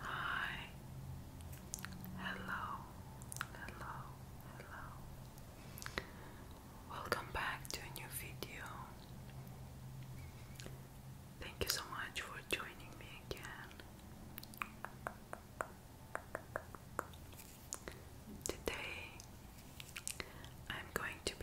Hi. Hello. Hello. Hello. Welcome back to a new video. Thank you so much for joining me again. Today I'm going to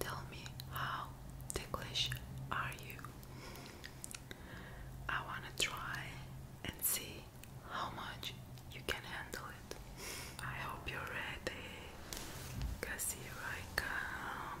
Tell me how ticklish are you? I wanna try and see how much you can handle it. I hope you're ready. Cause here I come.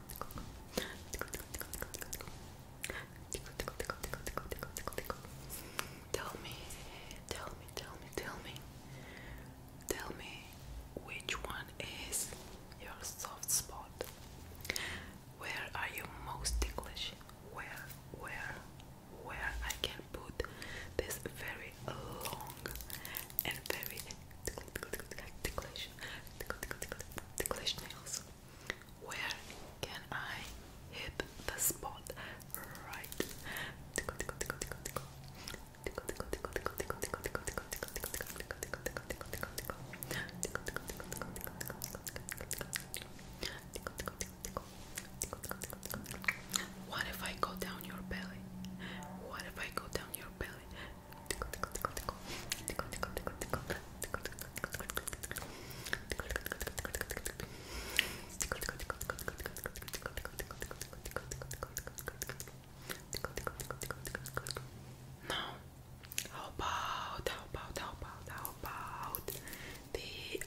Tell me, tell me, tell me, tell me, tell me which one is your soft spot. Where are you most ticklish? Where, where, where I can put this very long and very ticklish, ticklish, tickle, tickle, tickle, ticklish nails. Where can I hit the spot right? Tickle, tickle, tickle, tickle, tickle. Tickle, tickle, tickle, tickle, tickle, tickle, tickle, tickle, tickle, tickle, tickle, tickle, tickle, tickle, tickle, tickle. Tickle, tickle, tickle, tickle, tickle, tickle, tickle, tickle. Tickle, tickle, tickle, tickle. Tickle, tickle, tickle, tickle. What if I go down your belly? What if I go down your belly? Now, how about, about, about, about the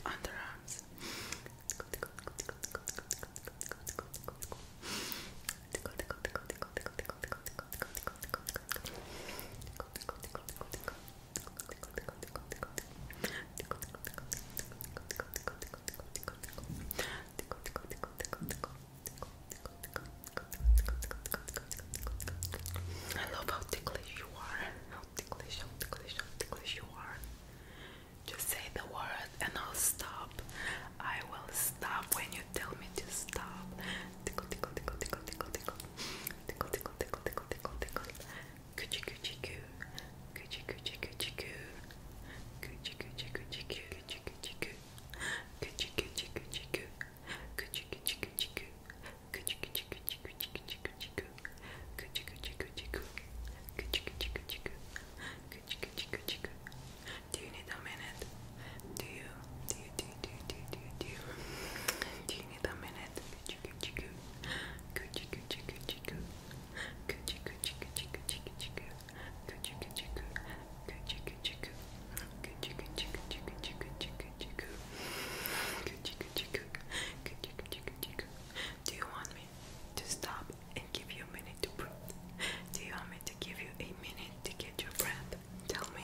underarms? I love how ticklish you are. How ticklish, how ticklish, how ticklish you are. Just say the word and I'll stop. I will stop when you tell me to stop. Tickle, tickle, tickle, tickle, tickle, tickle. Tickle, tickle, tickle, tickle, tickle, tickle. Coochie, coochie, coo. Coochie, coochie, coochie, coo. Coochie, coochie, coochie, coo. Coochie, coochie, Coochie, coo. Coochie, coochie, coochie, coo. coochie, coochie, coochie, coo. Coochie, coochie, coochie, coo. Coochie, coochie, coochie, coo. Coochie, coochie, coochie, coo. Do you need a minute? Do you? Do you? Do you? Do you? Do you? Do you? Do you need a minute? Do you want me to stop and give you a minute? Do you want me to give you a minute to get your breath? Tell me.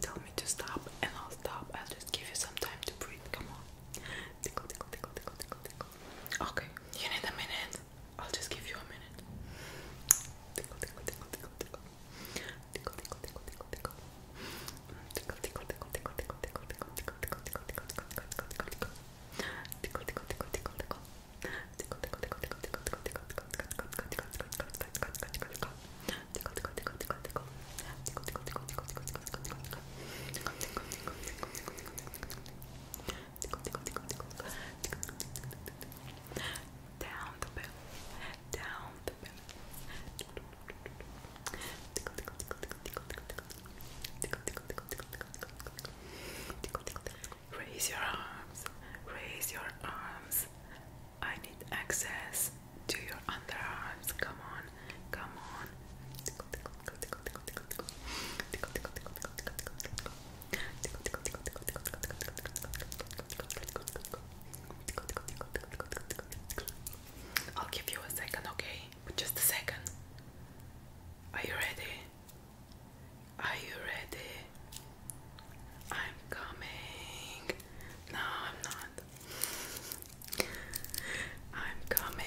Tell me to stop and I'll stop. I'll just give you some time to breathe. Come on. Tickle, tickle, tickle, tickle, tickle, tickle. Okay, you need a minute. I'll just give you a minute. Tickle, tickle, tickle, tickle, tickle. Tickle, tickle, tickle, tickle, tickle tickle, tickle, tickle, tickle, tickle, tickle, tickle, tickle, tickle, tickle, tickle, tickle, tickle, tickle, tickle. Tickle, tickle, tickle, tickle, tickle. Tickle, tickle, tickle, tickle, tickle, tickle, tickle, tickle, tickle, tickle, tickle, tickle, tickle, tickle. Tickle, tickle, tickle, tickle, tickle. Tickle, tickle, tickle, tickle, tickle, tickle, tickle, tickle. Tickle, tickle, tickle, tickle, tickle, tickle, tickle. Tickle, tickle, tickle, tickle, tickle, tickle. Down the bill. Down the bill. Raise your arms, raise your arms. I need access to your underarms. Come on, come on. I'll give you a second, okay? but just a second. Are you ready? Are you ready? I'm coming. No, I'm not. I'm coming.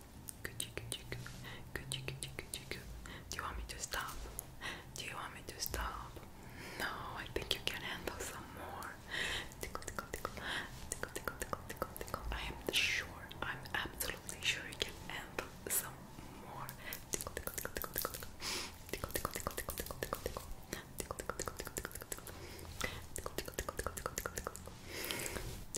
Do you want me to stop? Do you want me to stop? No, I think you can handle some more. Tickle, tickle, tickle, tickle, tickle, tickle, tickle, tickle. I am sure, I'm absolutely sure you can handle some more. Tickle, tickle, tickle, tickle, tickle, tickle, tickle, tickle, tickle, tickle, tickle, tickle, tickle. Tickle tickle tickle tickle tickle tickle tickle tickle tickle tickle tickle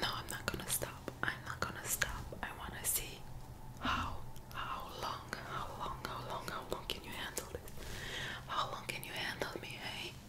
No, I'm not gonna stop. I'm not gonna stop. I wanna see how how long, how long, how long, how long can you handle this? How long can you handle me, hey?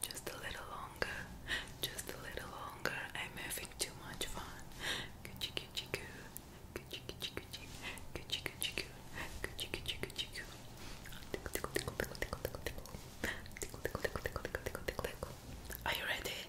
Just a little longer. Just a little longer. I'm having too much fun. Are you ready?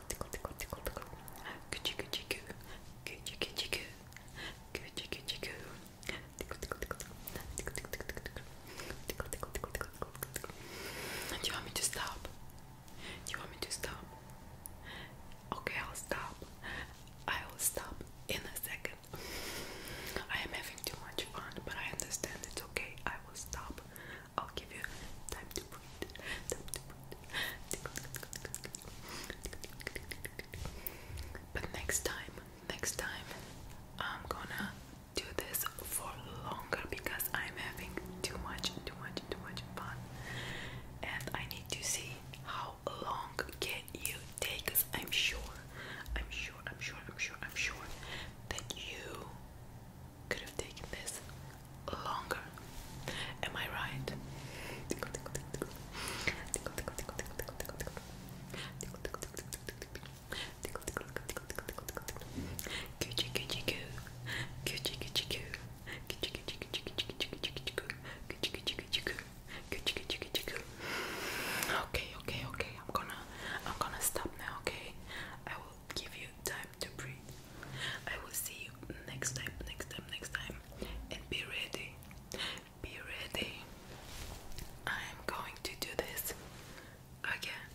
Do you want me to stop? Do you want me to stop? Okay, I'll stop. I will stop in a second. I am having too much fun, but I understand it's okay. I will stop. I'll give you time to breathe. But next time, next time, I'm gonna do this for longer because I'm having too much, too much, too much fun, and I need to see how long can you take. i I'm sure, I'm sure, I'm sure, I'm sure, I'm sure that you could have taken this longer. Am I right? Okay, okay, okay. I'm gonna I'm gonna stop now, okay? I will give you time to breathe. I will see you next time, next time, next time. And be ready. Be ready. I am going to do this again.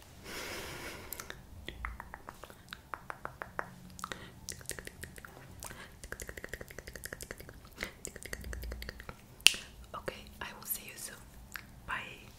Okay, I will see you soon. Bye.